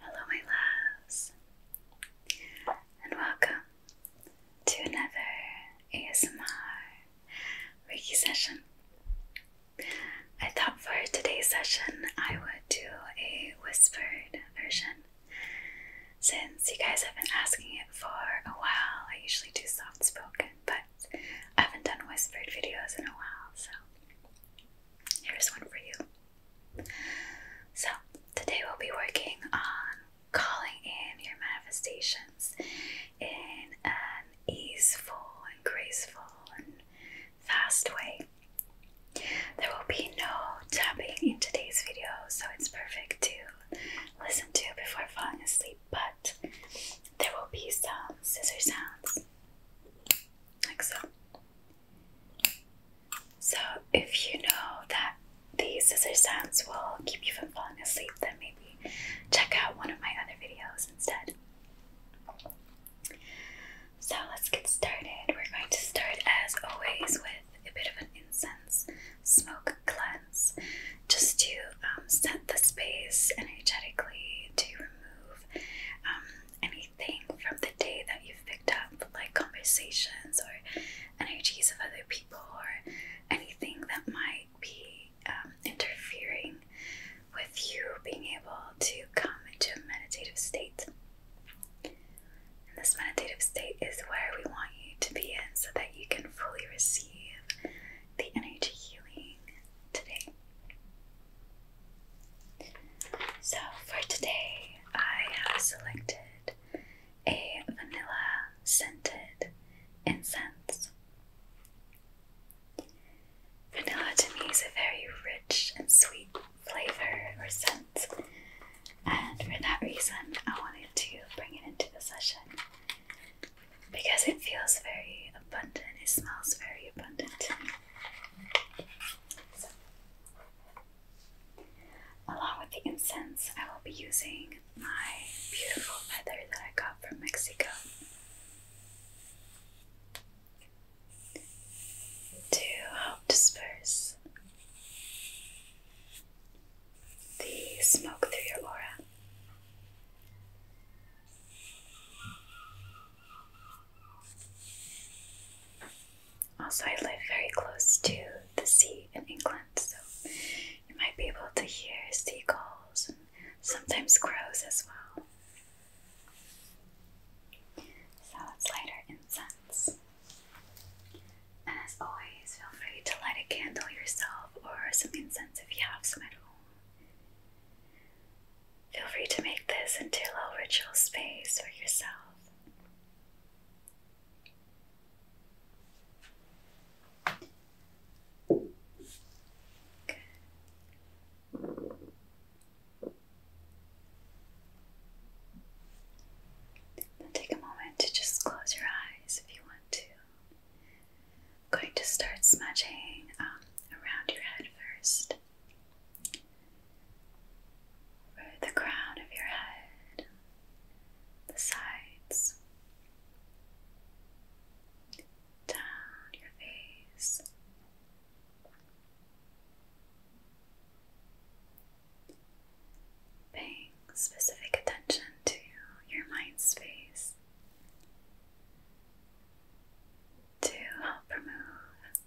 Hello, my loves, and welcome to another ASMR Reiki session. I thought for today's session I would do a whispered version since you guys have been asking it for a while. I usually do soft spoken, but I haven't done whispered videos in a while, so here's one for you. So, today we'll be working on calling in your manifestations in an easeful and graceful and fast way. There will be no tapping in today's video, so it's perfect to listen to before falling asleep, but there will be some scissor sounds like so, if you know that the scissor sounds will keep you from falling asleep, then maybe check out one of my other videos instead. So, let's get started. We're going to start, as always, with a bit of an incense smoke cleanse just to um, set the space energetically to remove um, anything from the day that you've picked up, like conversations or energies of other people, or anything that might be um, interfering with you being able to come into a meditative state. this meditative state is where we want you to be in so that you can fully receive the energy healing today. So for today, I have selected a vanilla scented incense. Vanilla to me is a very rich and sweet flavor or scent, and for that reason, I wanted to bring it into the session because it feels very abundant, it smells very abundant to me along with the incense, I will be using my beautiful feather that I got from Mexico to help disperse the smoke through your aura. Also, I live very close to the sea in England, so you might be able to hear seagulls and sometimes crows as well. So let's light our incense. And as always, feel free to light a candle yourself or some incense if you have some at home. Feel free to make this into a ritual space for yourself. Good. Now take a moment to just close your eyes if you want to. I'm going to start smudging um, around your head first the crown of your head, the sides, down your face. Paying specific attention to your mind space to help remove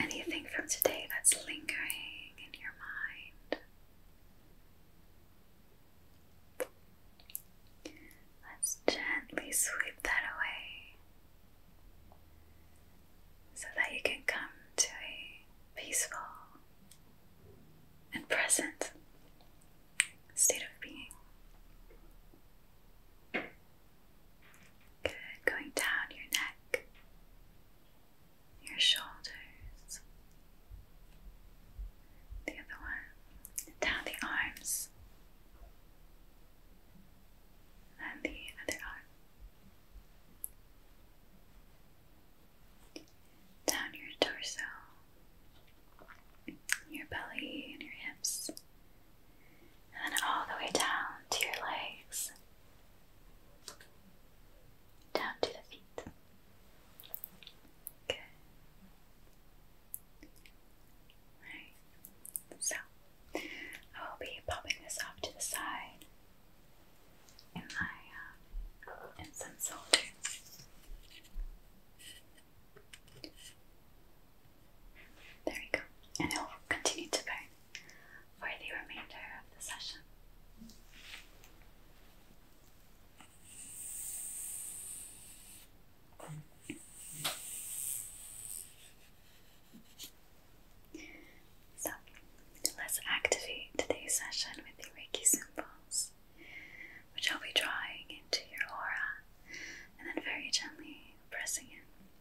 anything from today that's lingering in your mind. Let's gently sweep that away so that you can come to a peaceful and present state of being. Good, going down your neck, your shoulders, the other one, down the arms, and the other arm, down your torso, your belly, and your hips and then all the way down to your legs, down to the feet. Good. Right. So I will be popping this off to the side in my uh, in there we go. And it will continue to burn for the remainder of the session. So let's activate today's session with the Reiki symbols, which I'll be drawing into your aura and then very gently pressing in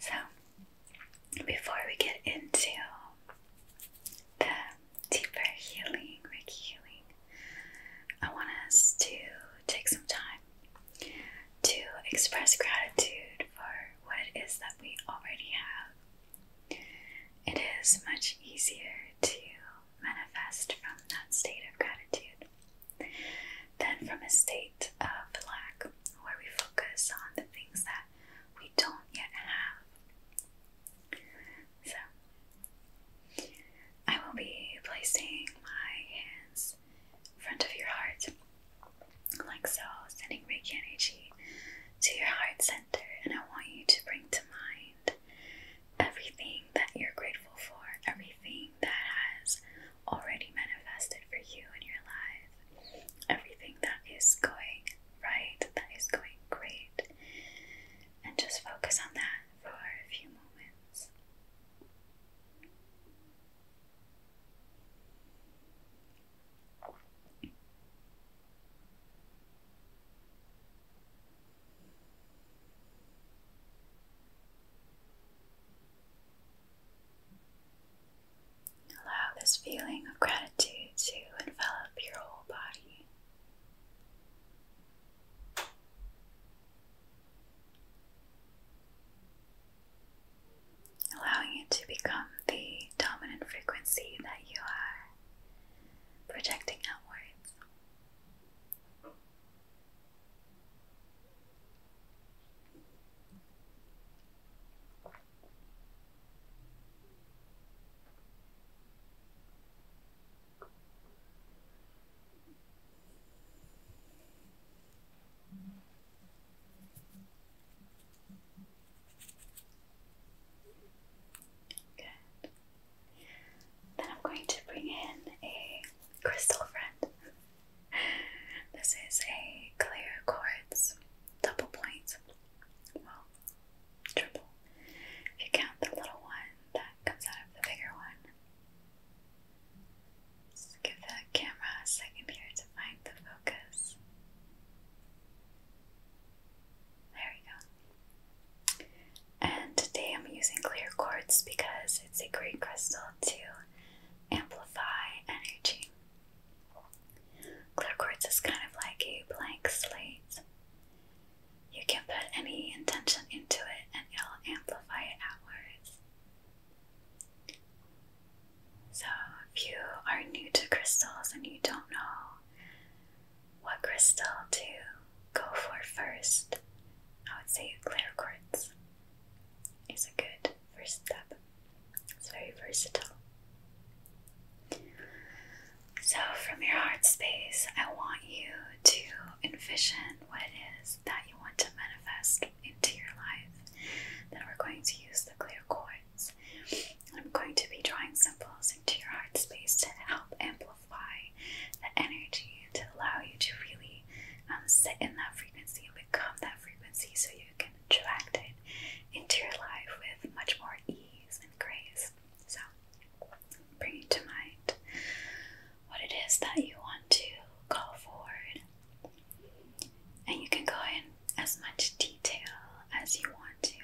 so before we get into the deeper healing reiki healing I want us to take some time to express gratitude for what it is that we already have it is much easier to manifest from that state of gratitude than from a state of lack where we focus on the things that we don't yet have. So, I will be placing my hands in front of your heart, like so, sending Reiki energy to your heart center and I want you to bring to mind everything that you're grateful for, everything that has already manifested for you in your life, everything that is going right, that is going great, and just focus on that for a few moments. Allow this feeling of gratitude to envelop your whole body. Allowing it to become the dominant frequency that you are projecting outwards. Then I'm going to bring in a crystal friend. this is a clear quartz double point. Well, triple. If you count the little one that comes out of the bigger one. Just give the camera a second here to find the focus. There we go. And today I'm using clear quartz because it's a great crystal to amplify energy. Clear quartz is kind of like a blank slate. You can put any intention into it and it'll amplify it outwards. So, if you are new to crystals and you don't know what crystal to go for first. I would say clear quartz It's a good first step. It's very versatile. So, from your heart space, I want you to envision what it is that you want to manifest into your life. Then we're going to use the clear quartz I'm going to be drawing symbols into your heart space to help amplify the energy, to allow you to really um, sit in that frequency and become that frequency so you can attract it into your life with much more ease and grace. So, bring to mind what it is that you want to call forward. And you can go in as much detail as you want to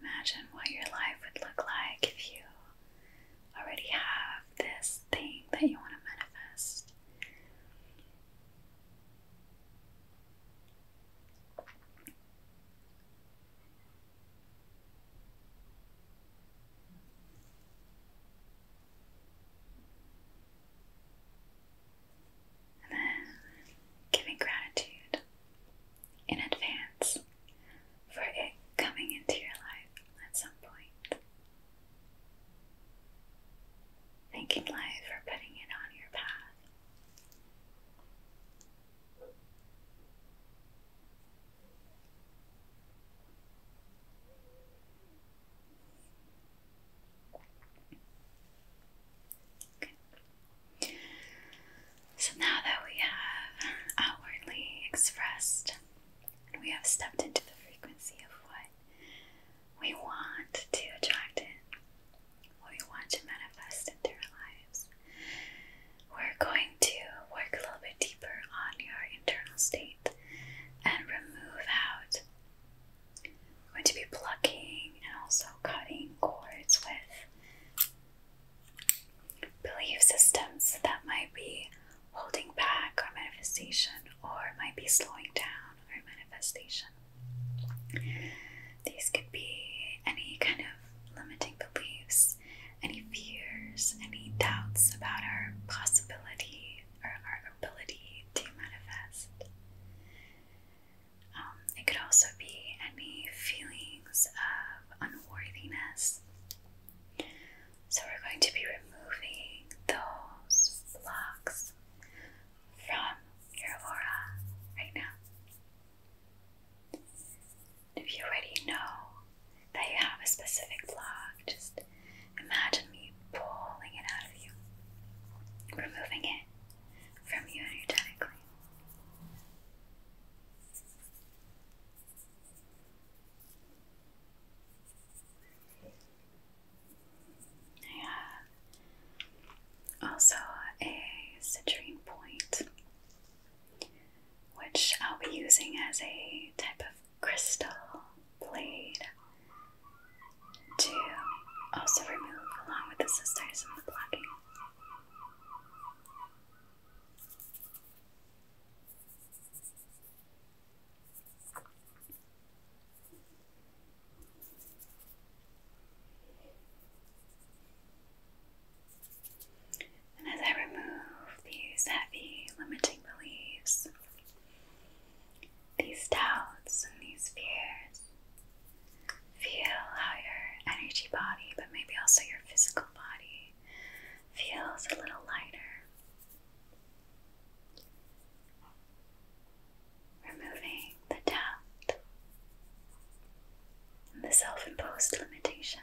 Imagine what your life would look like if you already have this thing that you want to manifest. And then giving gratitude in advance for it coming into your life at some point. Thanking life for putting it on your path. So now that we have outwardly expressed and we have stepped into the frequency of what we want to attract in, what we want to manifest into our lives. We're going to work a little bit deeper on your internal state and remove out. We're going to be plucking and also cutting cords with belief systems that might be holding back our manifestation or might be slowing down our manifestation. These could be any kind of limiting beliefs, any fears, any doubts about our possibility or our ability to manifest. Um, it could also be any feelings of unworthiness. So, we're going to be removing those blocks from your aura right now. If you already know that you have a specific block, just imagine me pulling it out of you, removing it from you energetically. I also a citrine point, which I'll be using as a type of crystal blade to also remove, along with the sisters, and the blocking. And as I remove these heavy limiting beliefs, these doubts and these fears, feel how your energy body, but maybe also your physical body, feels a little lighter removing the doubt and the self imposed limitations.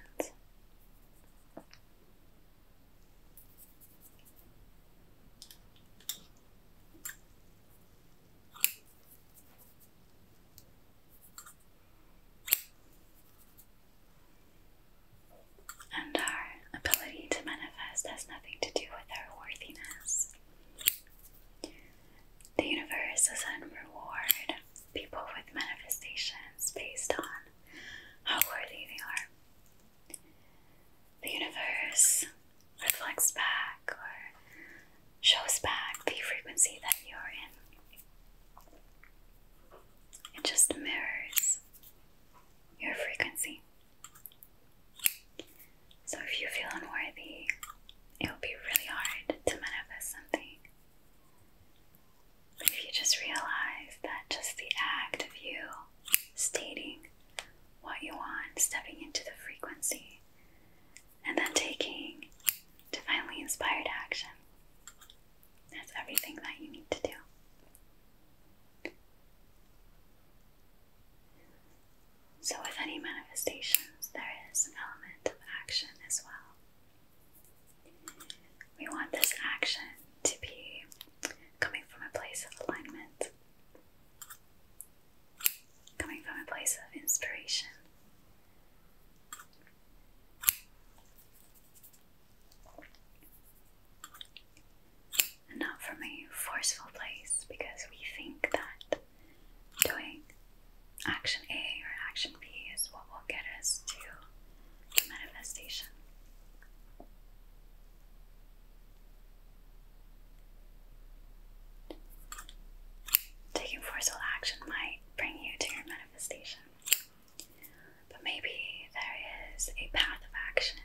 And our ability to manifest has nothing to do with our worthiness. The universe does in reward people with manifestations based on how worthy they are. The universe reflects back or shows back the frequency that you're in. It just mirrors your frequency. So, if you feel unworthy, it will be really hard to manifest something. But if you just realize that just the act of you stating what you want, stepping into the frequency, and then taking divinely inspired action, that's everything that you need to do. So, with any manifestations, there is an element of action as well. We want this action to be coming from a place of alignment, coming from a place of inspiration. And not from a forceful place because we think that doing action A or action B is what will get us to manifestation. Taking forceful action might bring you to your manifestation, but maybe there is a path of action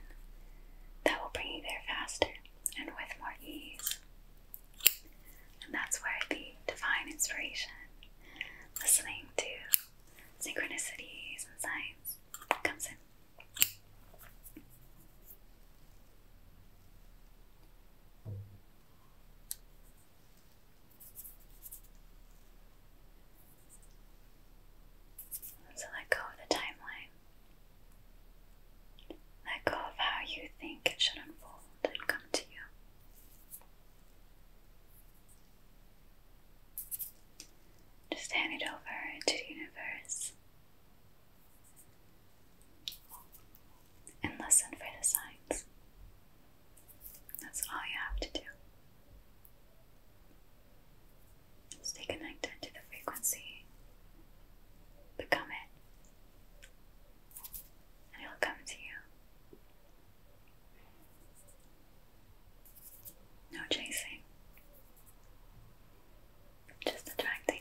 that will bring you there faster and with more ease. And that's where the divine inspiration, listening to synchronicities and signs, comes in. So let go of the timeline. Let go of how you think it should unfold and come to you. Just hand it over to the universe and listen for the signs. That's all you have to do. Stay connected to the frequency, become it it will come to you. No chasing, just attracting.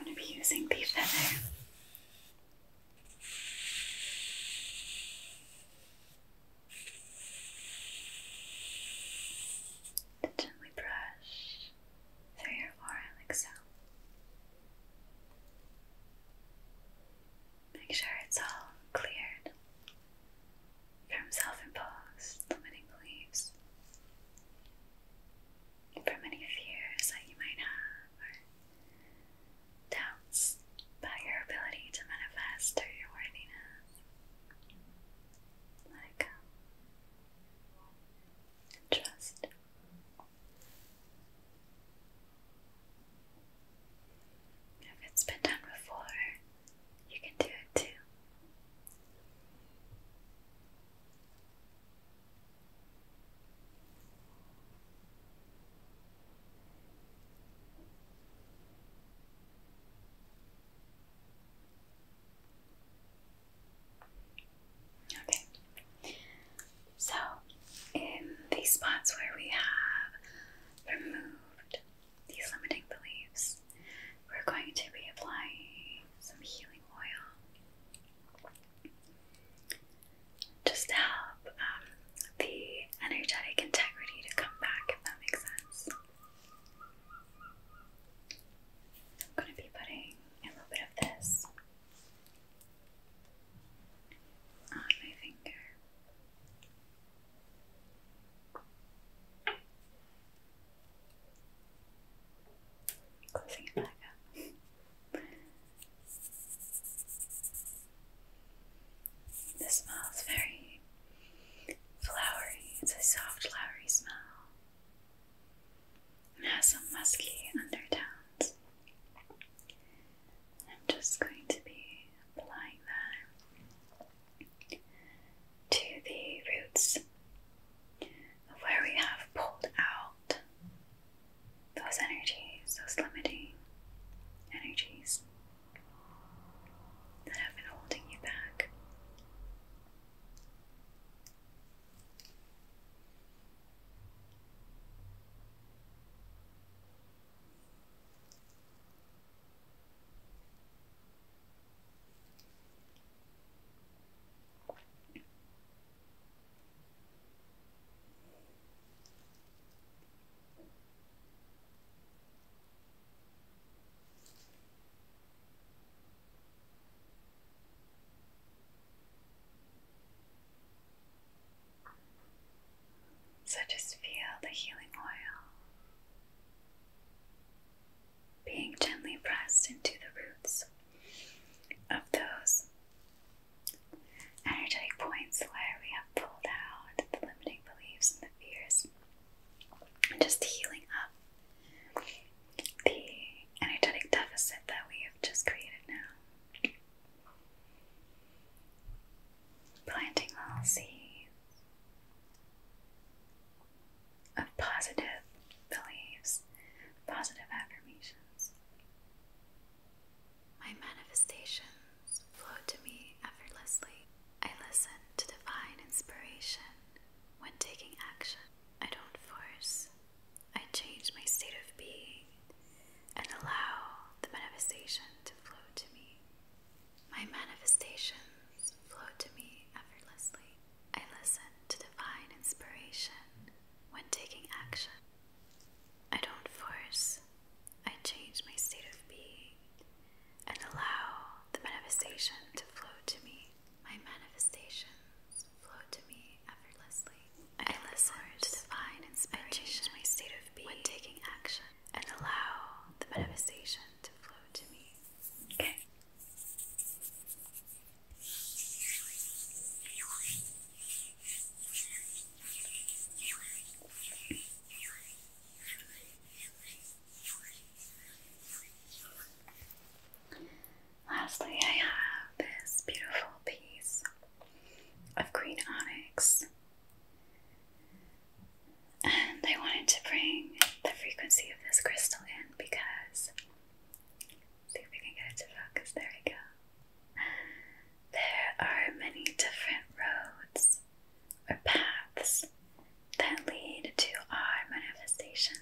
I'm going to be using the feather to gently brush through your aura like so. Make sure it's all cleared from self-imposed limiting beliefs, from any fears that you might have, or doubts about your ability to manifest or your worthiness let trust. Um, if it's been done before, you can do it too. Okay, so in these spots where we have removed these limiting beliefs, we're going to be applying some healing oil just to help um, the energetic integrity to come back, if that makes sense. I'm going to be putting a little bit of this on my finger. Closing it back up. this smells very Flowery, it's a soft, flowery smell. It has some musky undertones. I'm just going to be applying that to the roots of where we have pulled out those energies, those limiting energies that have been holding you back. So just feel the healing oil being gently pressed into the roots of those energetic points where we have pulled out the limiting beliefs and the fears just healing up the energetic deficit that we have just created now. Planting little seeds of positive beliefs, positive affirmations. My manifestations flow to me effortlessly. I listen to divine inspiration when taking action. I don't force, I change my state of being and allow the manifestation to flow to me. My manifestations flow to me effortlessly. I listen to divine inspiration when taking action. I don't force, I change my state of being and allow the manifestation to flow to me. My manifestations flow to me effortlessly. I, I listen to divine inspiration my state of being when taking action and allow the manifestation to flow to me. Okay. Lastly, I have this beautiful piece of green onyx, and I wanted to bring the frequency of this crystal in because. See if we can get it to focus. There we go. There are many different roads roads paths that lead to our manifestation.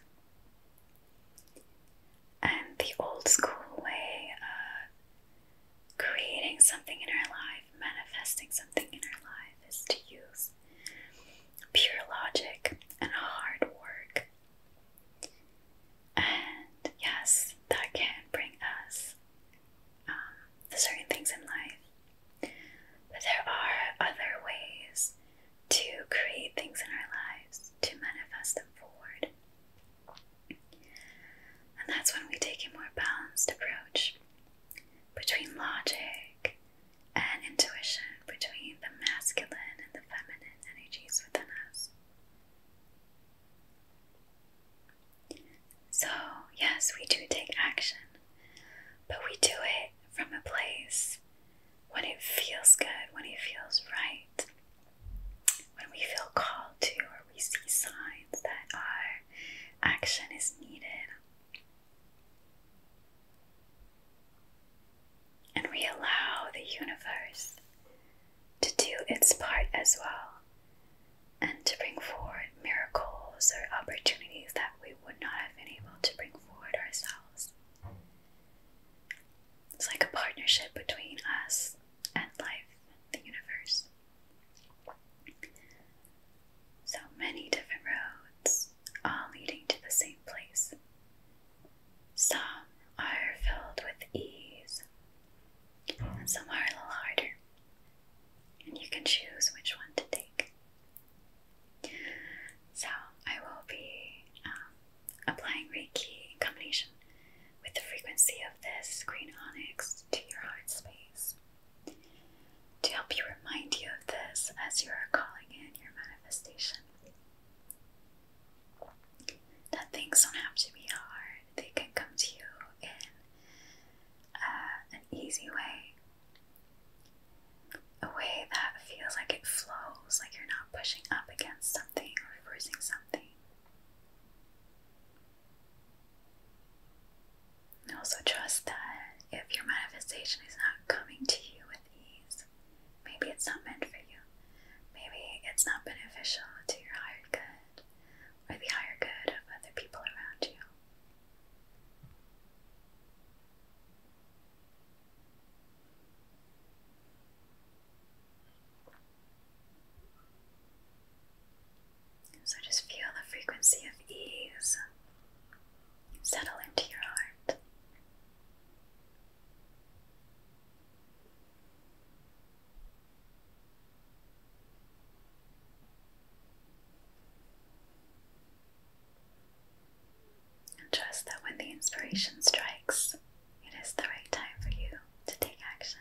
And the old school way of creating something in our life, manifesting something in our life, is to use pure logic and hard work. And yes, that can bring us the um, certain things in life. But there are other ways to create things in our lives, to manifest them forward. And that's when we take a more balanced approach between logic and intuition, between the masculine and the feminine energies within us. So, yes, we do take action. But we do it from a place when it feels good, when it feels right, when we feel called to, or we see signs that our action is needed. And we allow the universe to do its part as well and to bring forward miracles or opportunities that we would not have been able to bring forward ourselves. It's like a partnership between us and life, the universe. So many different roads, all leading to the same place. Some are filled with ease, and some are a little harder. And you can choose which one to take. So, I will be um, applying Reiki combination with the frequency of this green onyx to your heart space to help you remind you of this as you are calling in your manifestation. That things don't have to be hard, they can come to you in uh, an easy way, a way that feels like it flows, like you're not pushing up against something or reversing something. also, trust that if your manifestation is not coming to you with ease, maybe it's not meant for you, maybe it's not beneficial to your higher good or the higher good of other people around you. So just feel the frequency of ease settle into your heart. And trust that when the inspiration strikes, it is the right time for you to take action.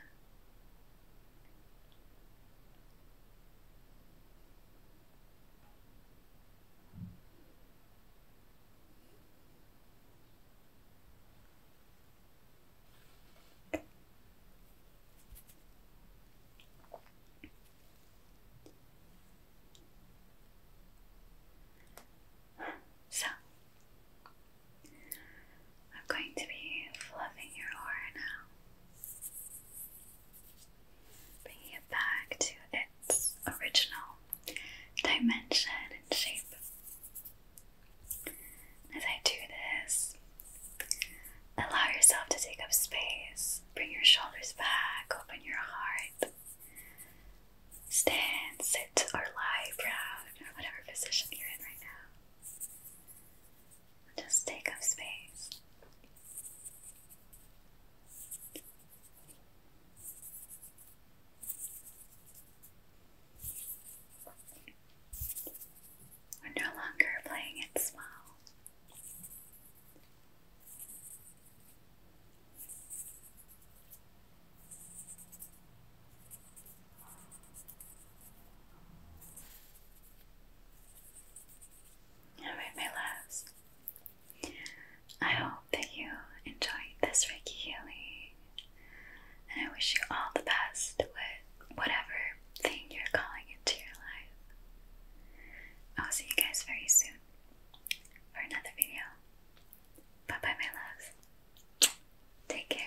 So, I'm going to be fluffing your aura now, bringing it back to its original dimension and shape. As I do this, Allow yourself to take up space. Bring your shoulders back, open your heart. Stand, sit, or lie proud, or whatever position you're in right now. Just take up space. We're no longer playing it small. Alright, my loves. I hope that you enjoyed this Reiki healing, and I wish you all the best with whatever thing you're calling into your life. I'll see you guys very soon for another video. Bye bye, my loves. Take care.